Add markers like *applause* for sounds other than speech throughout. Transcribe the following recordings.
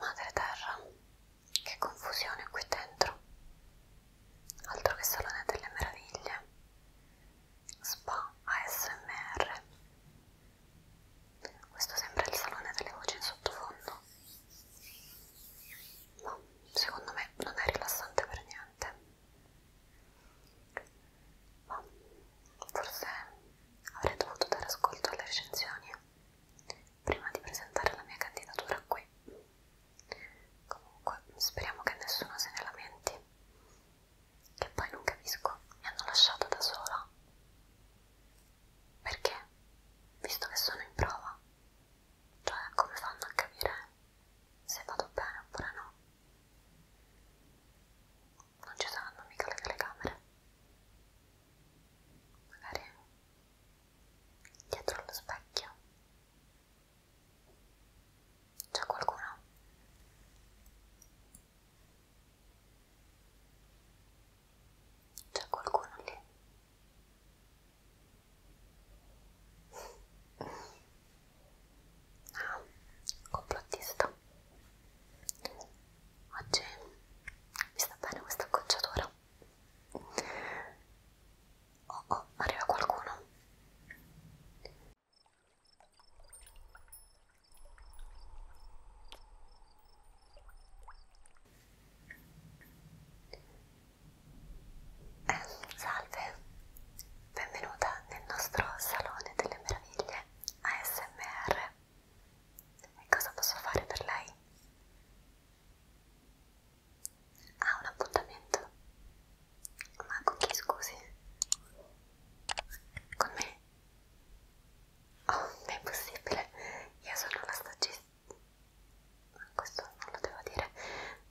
Madre terra, che confusione qui dentro. Altro che salone delle meraviglie. Spa ASMR. Questo sembra il salone delle voci in sottofondo no, secondo me non è rilassante per niente ma forse avrei dovuto dare ascolto alle recensioni prima di presentare la mia candidatura qui comunque speriamo che nessuno se ne lamenti che poi non capisco mi hanno lasciato da sola perché visto che sono in prova cioè, come fanno a capire se vado bene oppure no? Non ci saranno mica le telecamere. Magari dietro allo specchio c'è qualcuno. C'è qualcuno lì. Ah, complottista. Oggi mi sta bene questa acconciatura. Oh oh, arriva qualcuno. Eh, salve, benvenuta nel nostro salone delle meraviglie ASMR. E cosa posso fare per lei? Ha ah, un appuntamento? Ma con chi scusi? Con me? Oh, è impossibile, io sono una stagista questo non lo devo dire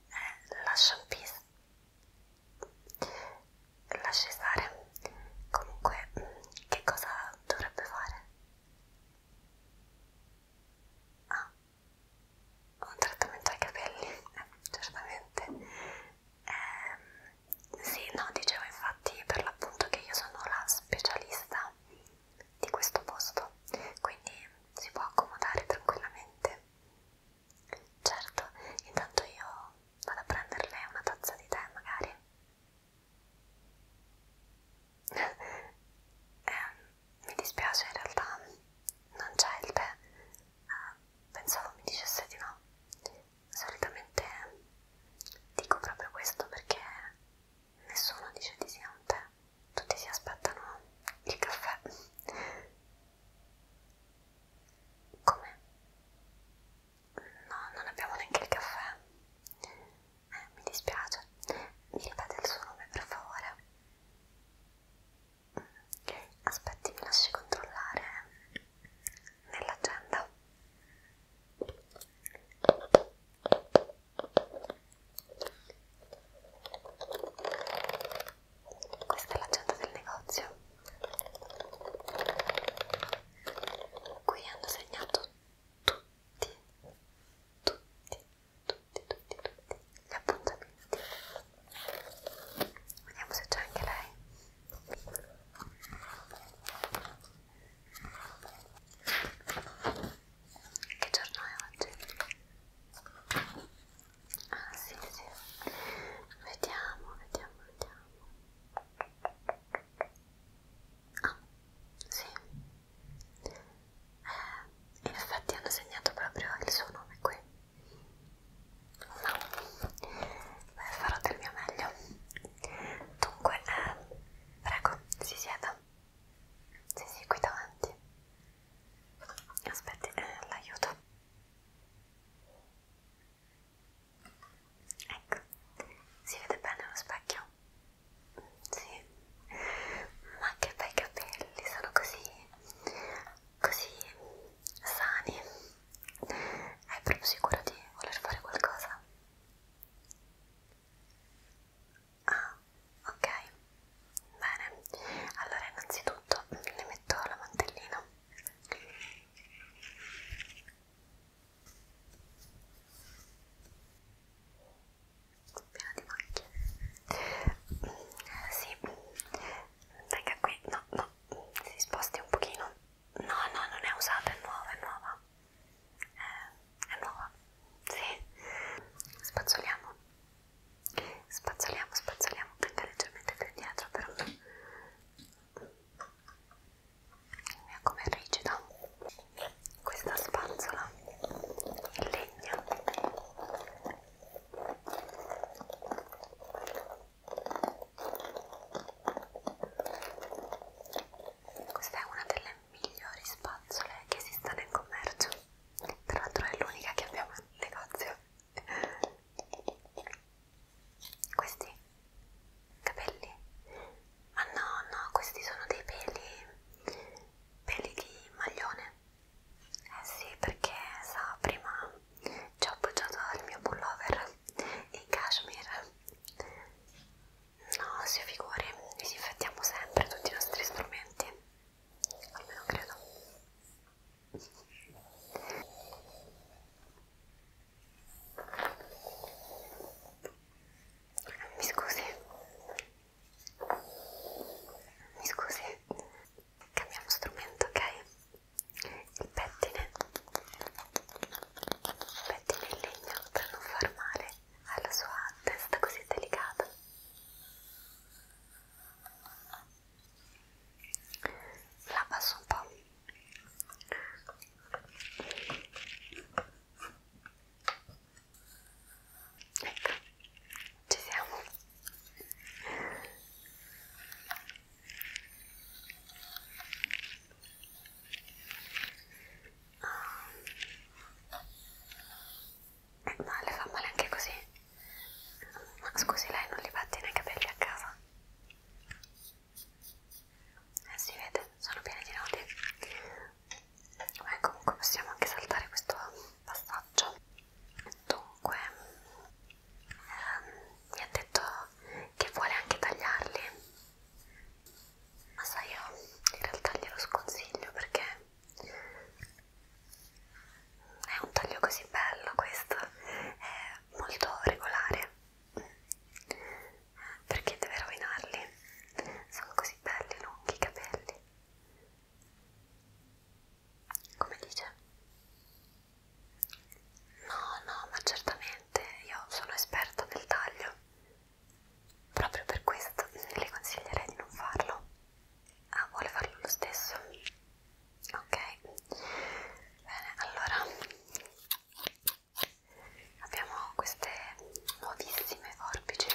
è eh, la champis la cesare comunque mm, che cosa dovrebbe fare? ah un trattamento ai capelli eh, certamente eh, sì no dicevo infatti per l'appunto che io sono la specialista di questo posto, quindi si può accomodare tranquillamente. Certo, intanto io vado a prenderle una tazza di tè magari. *laughs* eh, mi dispiace in realtà, non c'è il tè. Eh, pensavo mi dicesse di no. Solitamente dico proprio questo perché nessuno dice di sì a un tè, tutti si aspettano il caffè. Come? No, non abbiamo neanche il caffè. Eh, mi dispiace. Mi ripete il suo nome, per favore. Mm. Aspetti, mi lasci controllare nell'agenda. Questa è l'agenda del negozio. Qui hanno segnato tutti, tutti, tutti, tutti, tutti gli appuntamenti. Vediamo se c'è anche lei. Che giorno è oggi? Ah sì, sì. Vediamo, vediamo, vediamo. Ah, sì. Eh, in effetti hanno segnato proprio il suo nome qui. No. Beh, farò del mio meglio. Dunque, eh, prego, si sieda. Sì, sì, qui davanti. Aspetti, eh, l'aiuto. Ecco, si vede bene lo specchio? Sì. Ma che bei capelli, sono così, così sani. È proprio sicuro di voler fare qualcosa? Ah, ok, bene. Allora, innanzitutto le metto la mantellina. Piena di macchie. Eh, sì, venga qui. No, no, si sposti un pochino. No, no, non è usata, è nuova, è nuova eh, è nuova, sì, spazzoliamo, spazzoliamo, spazzoliamo anche leggermente più indietro però è come rigida questa spazzola in legno questa è una delle migliori spazzole che esista nel commercio tra l'altro è l'unica che abbiamo in negozio questi capelli ma no no questi sono dei peli peli di maglione eh sì perché so prima ci ho appoggiato il mio pullover in cashmere No, si figuri, disinfettiamo sempre tutti i nostri strumenti, almeno credo. Mi scusi, mi scusi, cambiamo strumento, ok? Il pettine, il pettine in legno per non far male alla sua testa così delicata. La abbasso un po'. Ecco, ci siamo. Eh, ma le fa male anche così? Ma scusi, lei non li pattina i capelli a casa? Eh, si vede, sono pieni di nodi. Beh, comunque possiamo anche saltare questo passaggio. Dunque, ehm, mi ha detto che vuole anche tagliarli. Ma sai, io in realtà glielo sconsiglio perché è un taglio così bello questo è molto regolare perché deve rovinarli sono così belli lunghi i capelli come dice no no ma certamente io sono esperta del taglio Proprio per questo le consiglierei di non farlo. Ah, vuole farlo lo stesso? Ok, bene, allora abbiamo queste nuovissime forbici.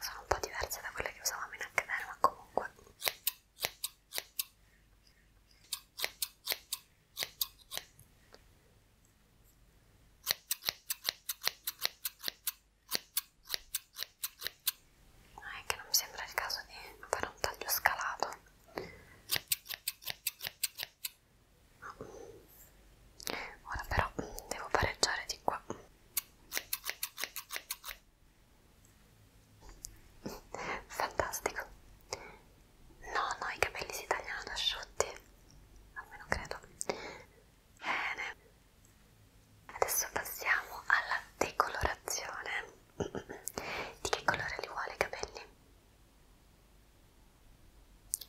Sono un po' diverse da quelle che usavamo in accademia, ma comunque No, ah, è che non mi sembra il caso di fare un taglio scalato. Ora però devo pareggiare di qua. Fantastico. No, no, i capelli si tagliano asciutti, almeno credo. Bene, adesso passiamo alla decolorazione. *clears throat* Di che colore li vuole i capelli?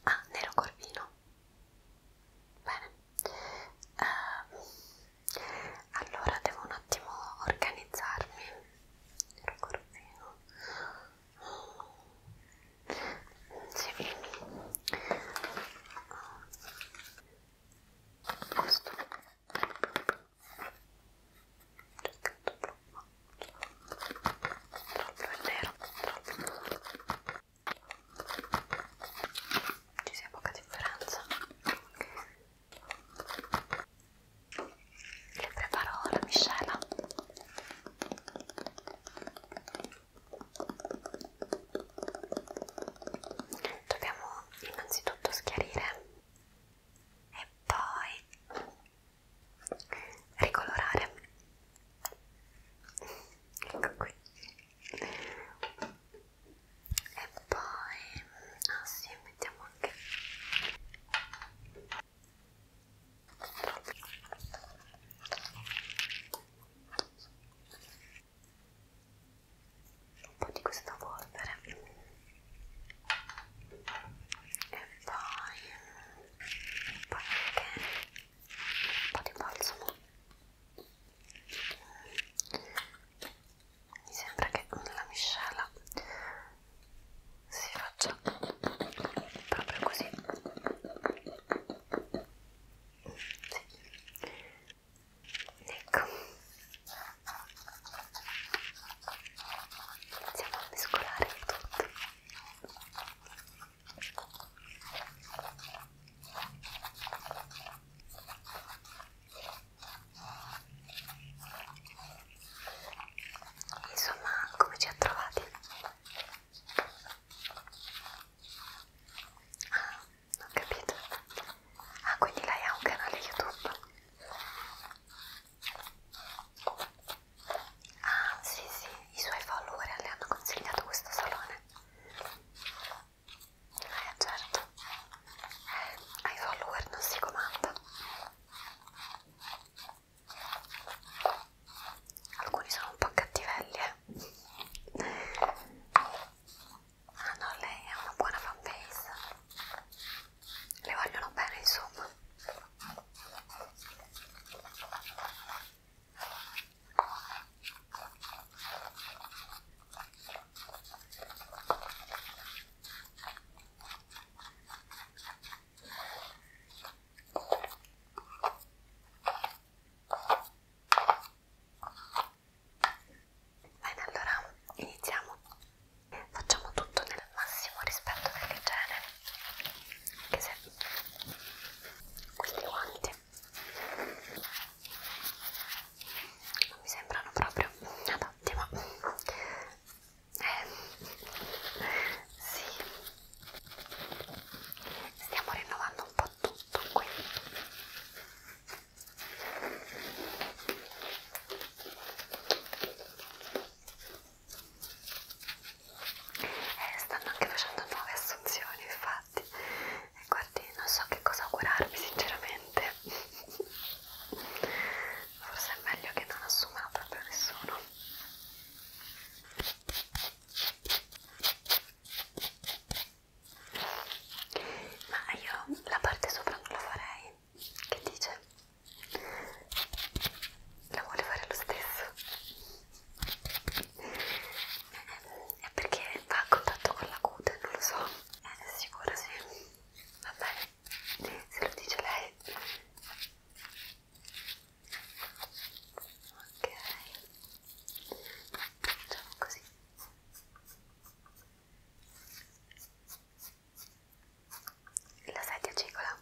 Ah, nero corvino. Bene. Uh, allora devo un attimo organizzarmi. Nero corvino. Sì. Questo. Troppo è nero, troppo. Ci sia poca differenza. Le preparo la miscela dobbiamo innanzitutto schiarire e poi ricolorare ecco qui e poi ah sì mettiamo anche un po' di questa polvere e poi poi anche un po' di balsamo mi sembra che la miscela si faccia faccia proprio così sì. ecco iniziamo a mescolare il tutto Insomma, come ci ha trovati? Ah, non capito. Ah, quindi lei ha un canale YouTube? Ah, sì, sì, i suoi follower le hanno consigliato questo salone. Eh, certo. Eh, ai follower non si comanda alcuni sono un po' cattivelli eh. ah no lei ha una buona fanbase le vogliono bene insomma Bene, allora iniziamo. Facciamo tutto nel massimo rispetto dell'igiene. Anche se questi guanti non mi sembrano proprio adatti, ma eh, sì stiamo rinnovando un po' tutto qui e eh, stanno anche facendo nuove assunzioni infatti e guardi non so che cosa augurarvi sinceramente forse è meglio che non assuma proprio nessuno ma io la parte sopra non la farei che dice la vuole fare lo stesso eh, è perché va a contatto con la cute non lo so è eh, sicura sì va bene se lo dice lei ok facciamo così la sedia cicola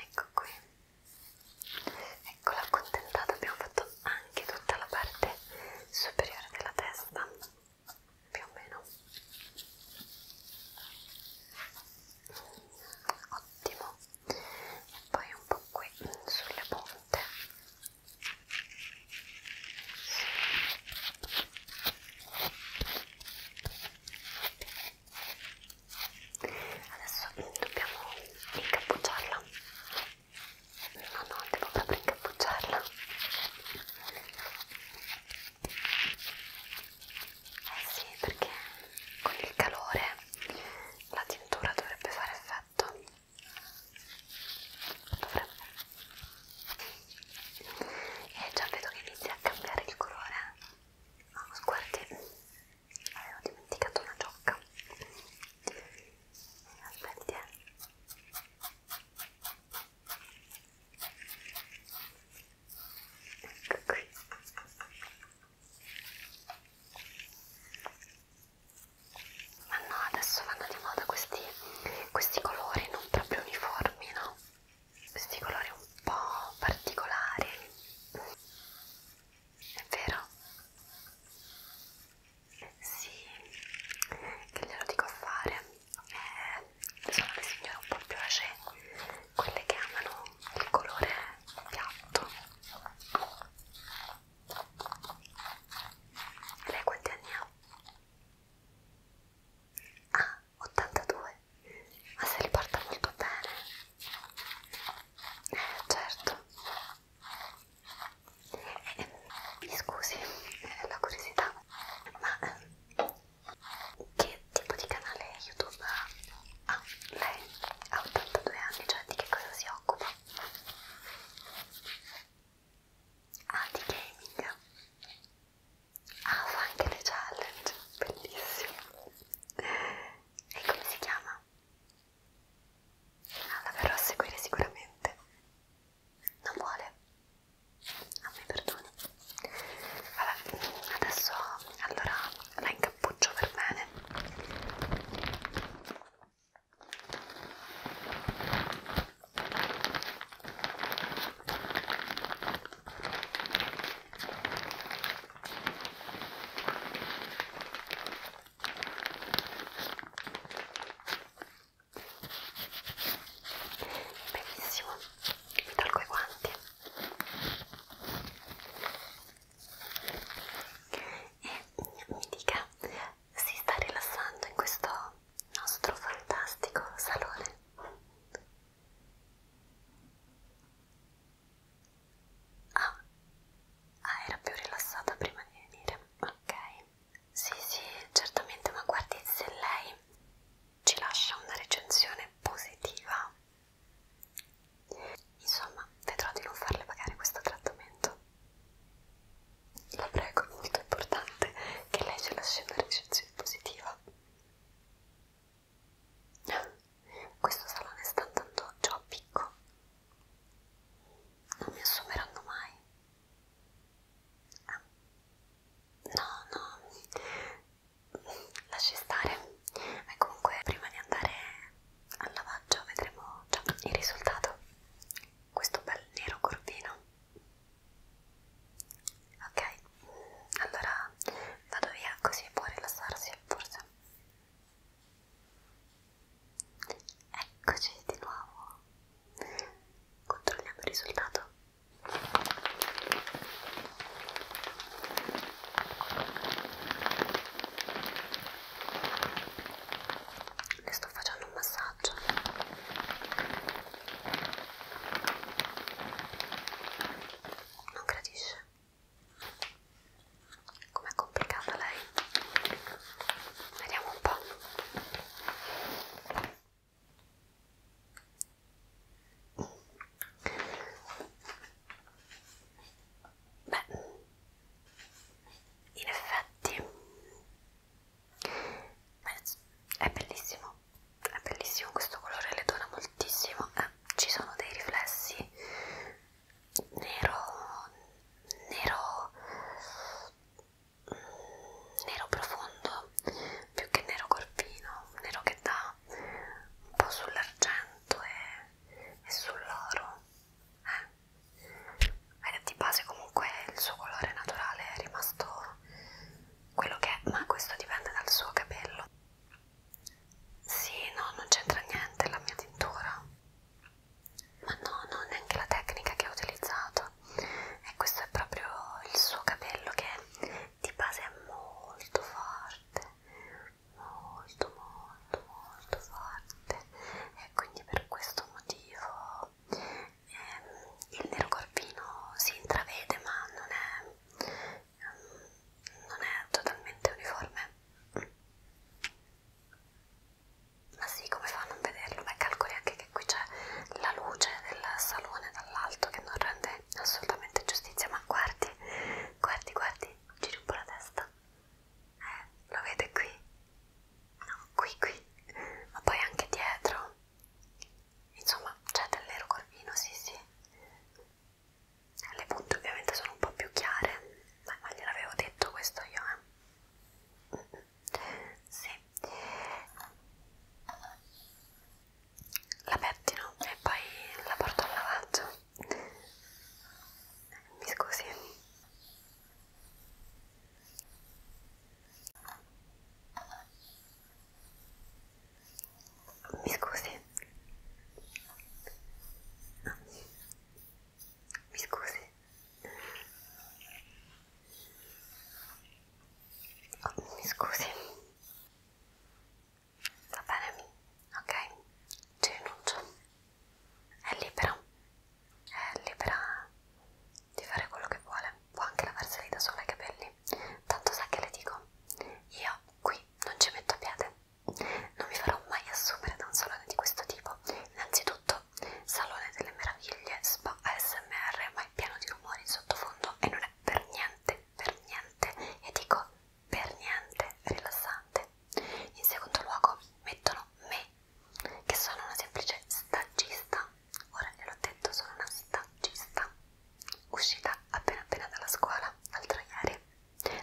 ecco qui ecco l'accontentata abbiamo fatto anche tutta la parte superiore della testa più o meno ottimo e poi un po' qui sulle punte adesso dobbiamo incappucciarla No, no, devo proprio incappucciarla. Eh sì, perché con il calore la tintura dovrebbe fare effetto. Dovrebbe. E già vedo che inizia a cambiare il colore. No, guardi, avevo dimenticato una giocca aspetti eh. ecco qui ma no adesso vanno di moda questi, questi colori non proprio uniformi no? questi colori un po' particolari è vero? Sì, che glielo dico a fare. Eh, sono le signore un po' più age, quelle che amano il colore piatto. E lei quanti anni ha? Ah, 82. Ma se li porta molto bene. Eh, certo. Mi eh, scusi eh, la curiosità, ma eh, che tipo di canale YouTube ha? Ah, lei ha 82 anni, cioè di che cosa si occupa? Ah, di gaming. Ah, fa anche le challenge, bellissimo. E come si chiama? la verrò a seguire sicuramente. Non vuole? Non mi perdoni. Vabbè, adesso allora la incappuccio per bene benissimo mi tolgo i guanti e mi dica si sta rilassando in questo nostro fantastico salone ah, ah era più rilassata prima di venire ok sì sì certamente ma guardi se lei ci lascia una recensione positiva insomma vedrò di non farle pagare questo trattamento la prego è molto importante che lei ci lasci una recensione positiva questo salone sta andando già a picco non mi assumeranno mai. Ah. No, no, lasci stare. E comunque, prima di andare al lavaggio, vedremo già il risultato. Questo bel nero corvino. Ok, allora vado via, così può rilassarsi, forse. Eccoci di nuovo. Controlliamo il risultato. Le sto facendo un massaggio. Non gradisce. Com'è complicata lei? Vediamo un po'. Beh, in effetti è bellissimo, è bellissimo questo colore, le dona moltissimo, eh, ci sono dei riflessi nero nero mm, nero profondo più che nero corpino nero che dà un po' sull'argento e, e sull'oro eh? di base comunque il suo colore naturale è rimasto quello che è ma questo dipende dal suo capello sì no non c'entra niente la mia tintura ma no, non è anche la tecnica che ho utilizzato e questo è proprio il suo capello che di base è molto forte molto molto molto forte e quindi per questo motivo ehm, il nero corvino si intravede ma non è, ehm, non è totalmente uniforme ma sì, come fa a non vederlo? Beh, calcoli anche che qui c'è la luce del salone dall'alto che non rende assolutamente giustizia, ma guardi, guardi, guardi, giri un po' la testa. Eh, lo vede qui? No, qui, qui, ma poi anche dietro. Insomma, c'è del nero corvino, sì, sì. Le punte ovviamente sono un po' più chiare, ma, ma gliel'avevo detto questo io, eh. Sì. La pettino e poi la porto al lavaggio. Mi scusi. Mi scusi. Mi scusi. Oh, mi scusi. Va bene, ok? Ci rinuncio. È libera. È libera di fare quello che vuole. Può anche lavarseli da sola i capelli. Tanto sa che le dico. Io qui non ci metto piede. Non mi farò mai assumere da un salone di questo tipo. Innanzitutto scritto Salone delle Meraviglie Spa ASMR ma è pieno di rumori in sottofondo e non è per niente, per niente, e dico per niente rilassante. In secondo luogo mettono me, che sono una semplice stagista, ora gliel'ho detto sono una stagista, uscita appena appena dalla scuola l'altro ieri,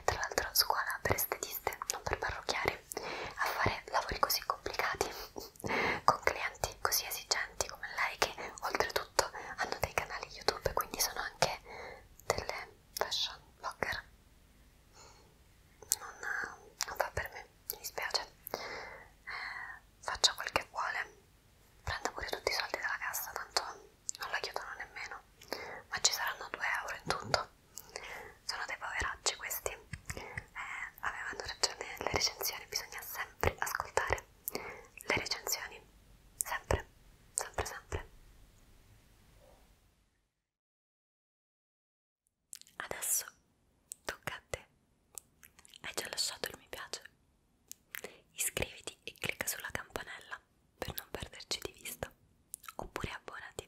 tra l'altro scuola per estetiste, non per parrucchieri, me a fare lavori così complicati con clienti così esigenti come lei che oltretutto hanno dei canali YouTube quindi sono anche delle fashion blogger non, non va per me, mi dispiace eh, faccia quel che vuole prenda pure tutti i soldi dalla cassa tanto non la chiudono nemmeno ma ci saranno 2 euro in tutto sono dei poveracci questi eh, avevano ragione le recensioni bisogna sempre ascoltare le recensioni sempre sempre sempre adesso tocca a te hai già lasciato il mi piace iscriviti e clicca sulla campanella per non perderci di vista oppure abbonati